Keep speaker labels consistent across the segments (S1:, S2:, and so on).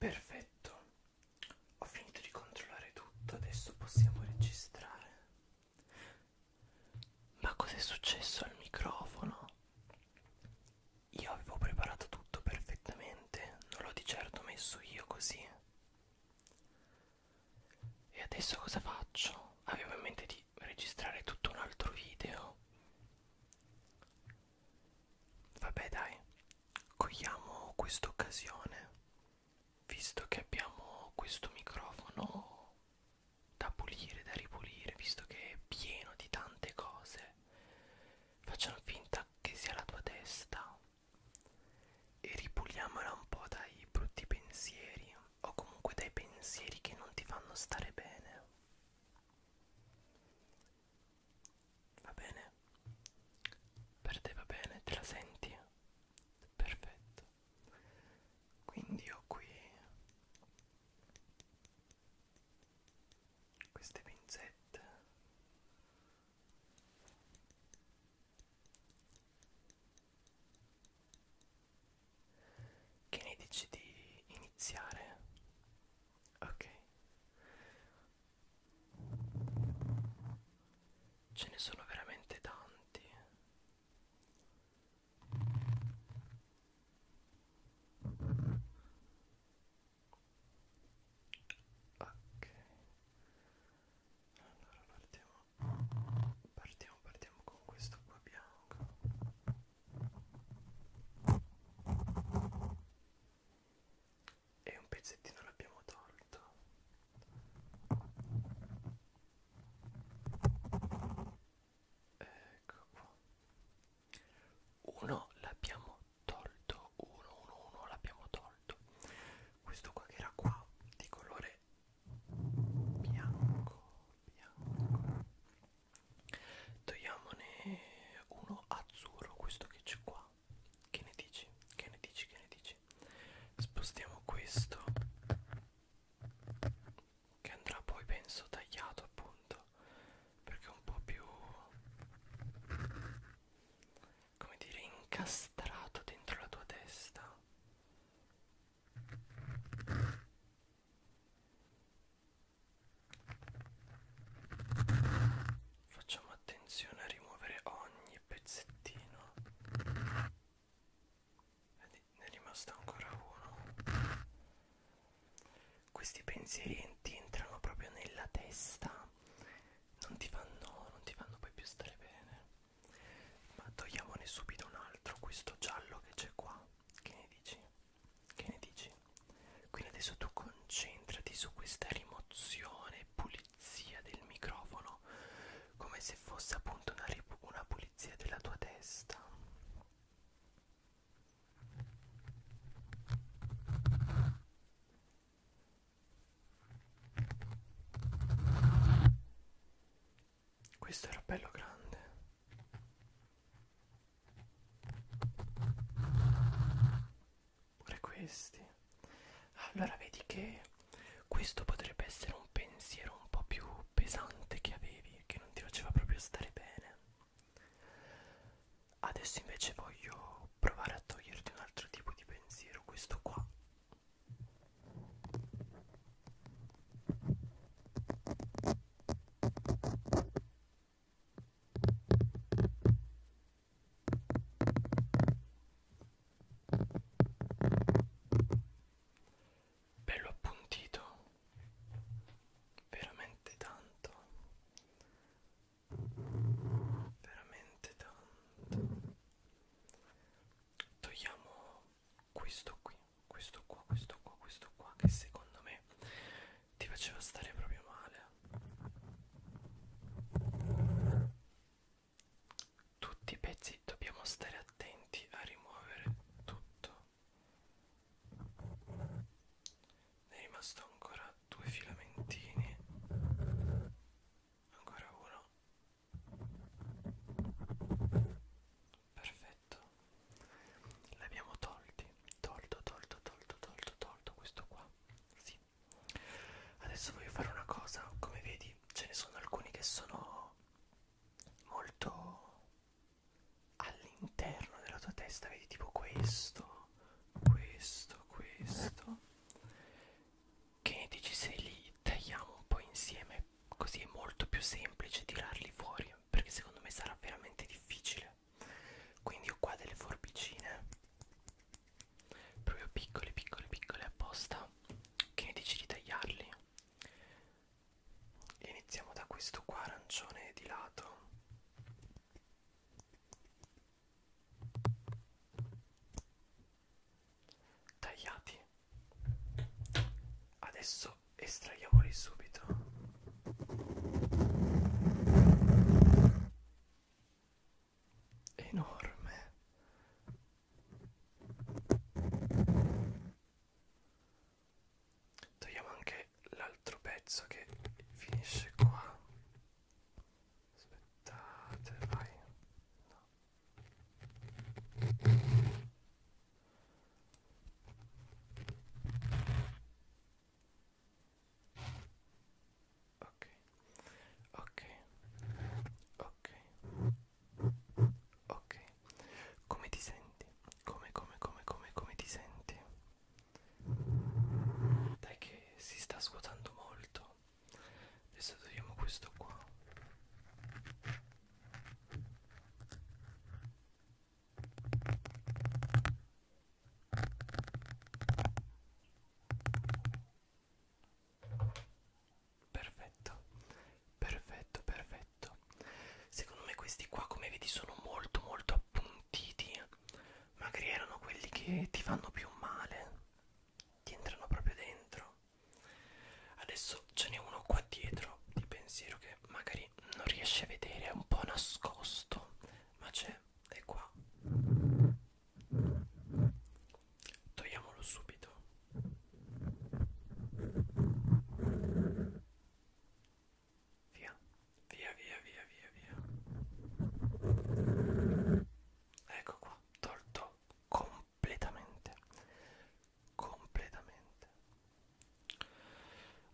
S1: Perfetto, ho finito di controllare tutto, adesso possiamo registrare. Ma cos'è successo al microfono? Io avevo preparato tutto perfettamente, non l'ho di certo messo io così. E adesso cosa faccio? Avevo in mente di registrare tutto un altro video. Vabbè dai, cogliamo questa occasione, visto che abbiamo questo microfono da pulire, da ripulire, visto che è pieno di tante cose, facciamo finta che sia la tua testa e ripuliamola un po' dai brutti pensieri o comunque dai pensieri che non ti fanno stare bene. Va bene? Per te va bene? Te la senti? Perfetto. Quindi ho qui queste pinzette. Che ne dici di iniziare Ok. Ce ne sono veramente tanti. Ok. Allora partiamo. Partiamo, partiamo con questo qua bianco e un pezzettino l'abbiamo tolto ecco qua uno l'abbiamo tolto uno uno uno l'abbiamo tolto questo qua che era qua di colore bianco bianco togliamone uno azzurro questo che c'è qua che ne dici che ne dici che ne dici spostiamo questo che andrà poi penso tagliato appunto perché è un po' più come dire incastrato dentro la tua testa Facciamo attenzione a rimuovere ogni pezzettino. Vedi, ne è rimasto ancora uno. Questi pensieri ti entrano proprio nella testa. Non ti fanno, non ti fanno poi più stare bene. Ma togliamone subito un altro, questo giallo che c'è qua. Che ne dici? Che ne dici? Quindi adesso tu concentrati su questa rimozione, pulizia del microfono, come se fosse appunto una, una pulizia della tua testa. Questo era bello grande. Pure questi. Allora vedi che questo potrebbe essere un pensiero un po' più pesante che avevi, che non ti faceva proprio stare bene. Adesso invece voglio provare a toglierti un altro tipo di pensiero, questo qua bello appuntito veramente tanto veramente tanto togliamo questo qui, questo qua, questo qua, questo qua che secondo me ti faceva stare proprio male. Tutti i pezzi dobbiamo stare attenti a rimuovere tutto. Ne è rimasto ancora due filamentini. Ancora uno perfetto l'abbiamo tolti tolto tolto tolto tolto tolto questo qua sì adesso voglio fare una cosa come vedi ce ne sono alcuni che sono molto all'interno della tua testa vedi tipo questo questo questo che ne dici se li tagliamo un po' insieme così è molto più semplice tirarli fuori perché secondo me sarà veramente difficile quindi ho qua delle forbicine proprio piccole piccole piccole apposta che ne dici di tagliarli e iniziamo da questo qua arancione di lato tagliati adesso estraiamoli subito enorme togliamo anche l'altro pezzo che finisce qua aspettate vai no ok ok ok ok come ti senti come come come come come ti senti dai che si sta svuotando molto adesso togliamo questo qua Perfetto, perfetto, perfetto. Secondo me questi qua, come vedi, sono molto molto appuntiti. Eh. Magari erano quelli che ti fanno più male. Ti entrano proprio dentro. Adesso ce n'è uno qua dietro di pensiero che magari non riesce a vedere, è un po' nascosto, ma c'è, è qua. Togliamolo subito. Via, via, via, via, via, via. Ecco qua, tolto completamente completamente completamente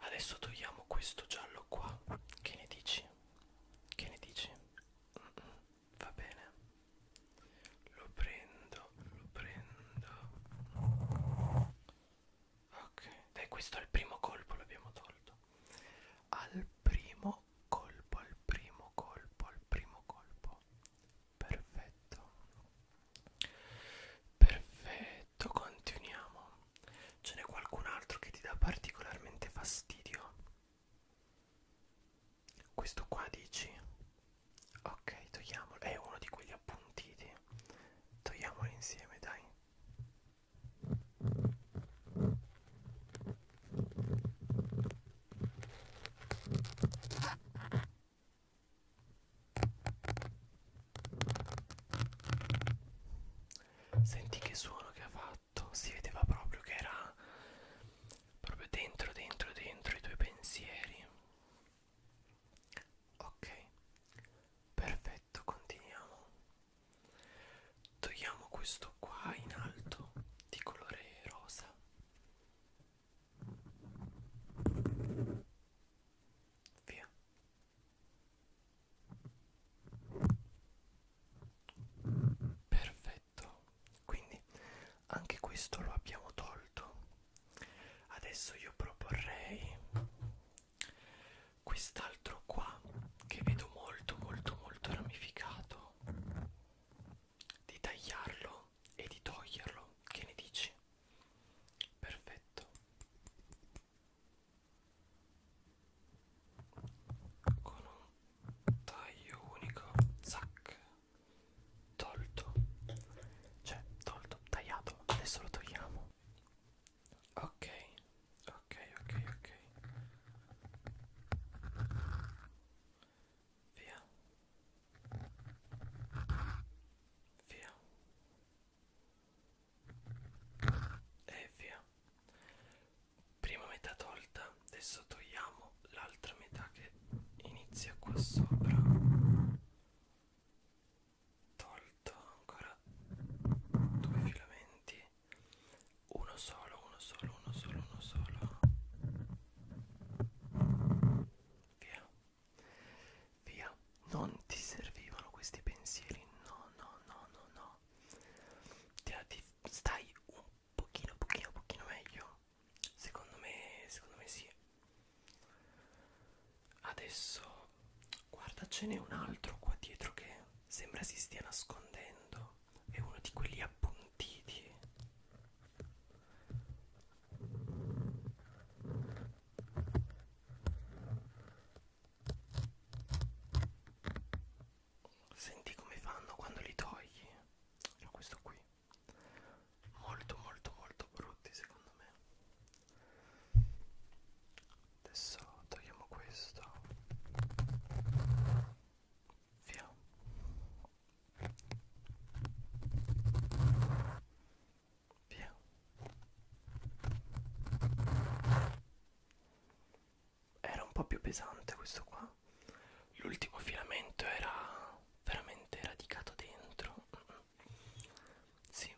S1: adesso togliamo questo giallo qua che ne dici che ne dici mm -mm, va bene lo prendo lo prendo ok dai questo al primo colpo l'abbiamo tolto al primo colpo al primo colpo al primo colpo perfetto perfetto continuiamo ce n'è qualcun altro che ti dà particolarmente fastidio questo qua dici ok togliamolo è uno di quelli appuntiti togliamolo insieme dai Senti che suono che ha fatto, si vedeva proprio che era proprio dentro, dentro, dentro i tuoi pensieri. Ok, perfetto, continuiamo. Togliamo questo qua in alto di colore rosa Via. Perfetto. Quindi anche questo lo abbiamo tolto. Adesso io proporrei quest'altro qua che vedo molto molto molto ramificato di tagliarlo e di toglierlo. Che ne dici? Perfetto. Con un taglio unico, zac, tolto. Cioè, tolto, tagliato. Adesso lo togliamo. Ok, ok, ok, ok via via e via prima metà tolta adesso togliamo l'altra metà che inizia qua sopra tolto ancora due filamenti uno solo uno solo uno solo uno solo via via non ti servivano questi pensieri no no no no no ti stai un pochino pochino pochino meglio secondo me secondo me sì adesso guardacene un altro qua dietro che Sembra si stia nascondendo. È uno di quelli appuntiti. Senti come fanno quando li togli. No, questo qui. Molto molto molto brutti secondo me. Adesso togliamo questo via via era un po' più pesante questo qua l'ultimo filamento era veramente radicato dentro sì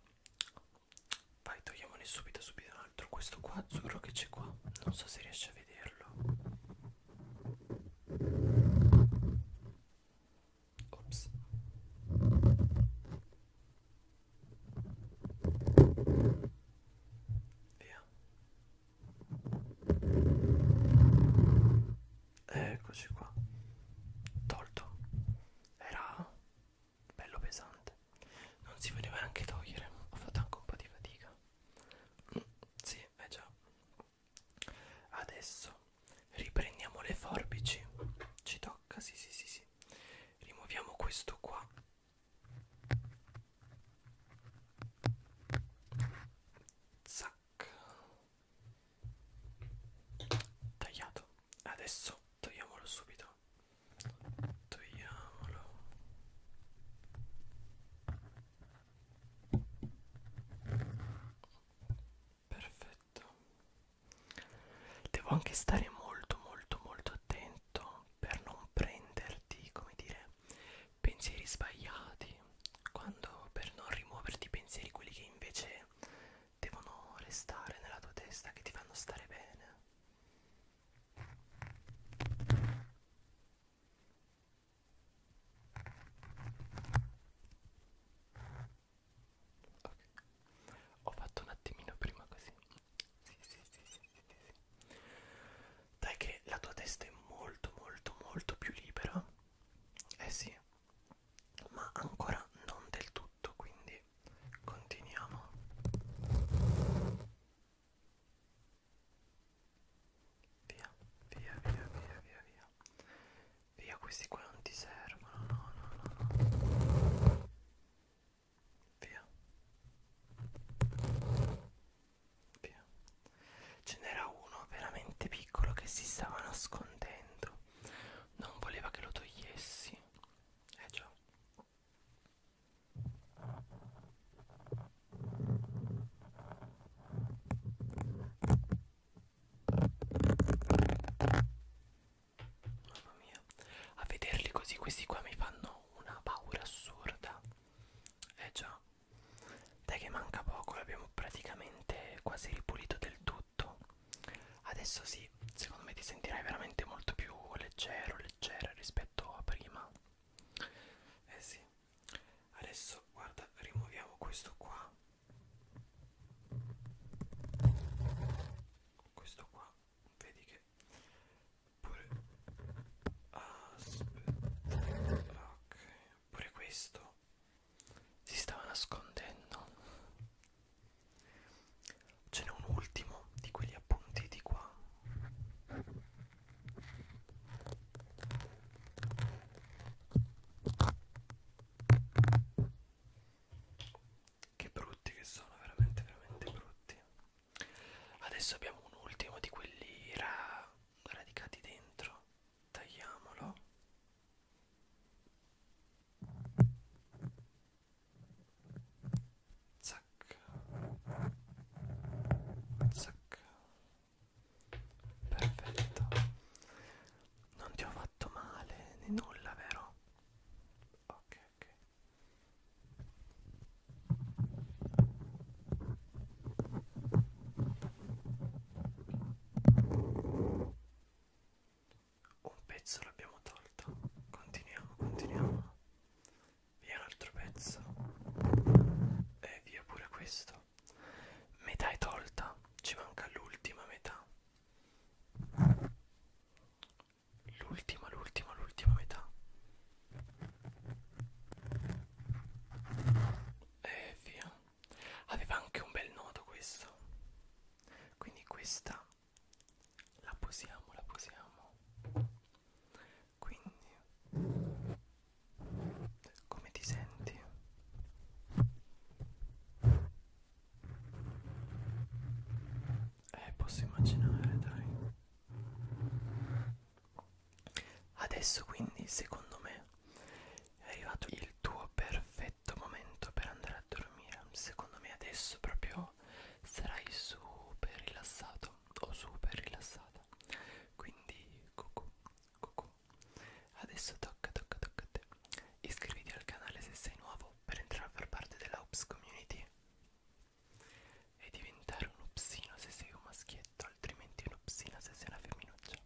S1: vai togliamone subito subito un altro questo qua azzurro che c'è qua non so se riesce a vedere vederlo. Ops. Via. Eccoci qua. Tolto. Era bello pesante non si poteva neanche togliere ho fatto anche un po' di fatica sì, è eh già adesso riprendiamo le forbici ci tocca, sì sì sì sì rimuoviamo questo qua zac tagliato adesso togliamolo subito togliamolo perfetto devo anche stare molto molto molto attento per non prenderti come dire pensieri sbagliati quando per non rimuoverti i pensieri quelli che invece devono restare nella tua testa che ti fanno stare bene Ok, ho fatto un attimino prima così. Sì, sì, sì, sì, sì, sì. Dai che la tua testa è molto, molto, molto più libera. Eh sì, ma ancora non del tutto, quindi continuiamo. Via, via, via, via, via, via. Via, questi qua non ti servono, no, no, no, no. Via. Via. Ce n'era uno veramente piccolo che si stava nascondendo. Non voleva che lo togliessi. Eh già. Mamma mia, a vederli così questi qua mi fanno una paura assurda. Eh già, dai che manca poco, l'abbiamo praticamente quasi ripulito del tutto. Adesso sì, secondo me ti sentirai veramente molto più leggero, leggera rispetto a prima. Eh sì. Adesso guarda, rimuoviamo questo qua. Questo qua, vedi che pure ah, aspetta. Ok, pure questo si stava nascondendo. Ce n'è un ultimo di quegli appuntiti qua. Che brutti che sono, veramente, veramente brutti. Adesso abbiamo un ultimo di quelli ra radicati dentro. Tagliamolo zac zac perfetto non ti ho fatto male né nulla vero ok ok un pezzo l'abbiamo tolto continuiamo continuiamo via un altro pezzo e via pure questo metà è tolta ci manca l'ultima metà l'ultima l'ultima l'ultima metà e via aveva anche un bel nodo questo quindi questa la posiamo, la posiamo. Quindi, come ti senti? Eh, posso immaginare, dai. Adesso quindi, secondo me, è arrivato il tuo perfetto perfetto momento per andare a dormire secondo me adesso proprio sarai super rilassato o super rilassata quindi cucù cucù adesso tocca tocca tocca a te iscriviti al canale se sei nuovo per entrare a far parte della Ups community e diventare un upsino se sei un maschietto altrimenti un upsino se sei una femminuccia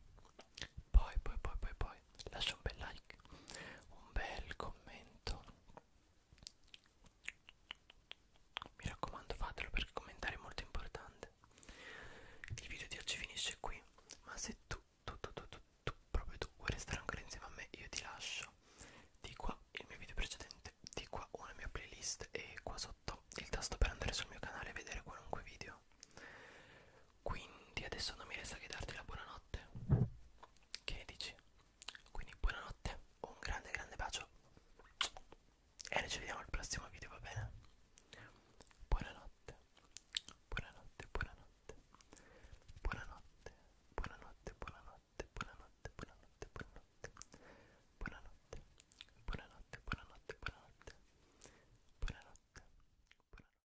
S1: poi poi poi poi poi voi lascia un bel like un bel commento mi raccomando fatelo perché commentare è molto importante il video di oggi finisce qui ma se tu tu tu tu tu, tu proprio tu vuoi restare ancora insieme a me io ti lascio di qua il mio video precedente di qua una mia playlist e qua sotto il tasto per andare sul mio canale e vedere qualunque video quindi adesso non mi resta che darti la buonanotte. Che ne dici? Quindi buonanotte, un grande grande bacio. E noi ci vediamo al prossimo video, va bene? Buonanotte. Buonanotte, buonanotte. Buonanotte. Buonanotte, buonanotte, buonanotte, buonanotte, buonanotte. Buonanotte. Buonanotte, buonanotte, buonanotte. Buonanotte. Buonanotte.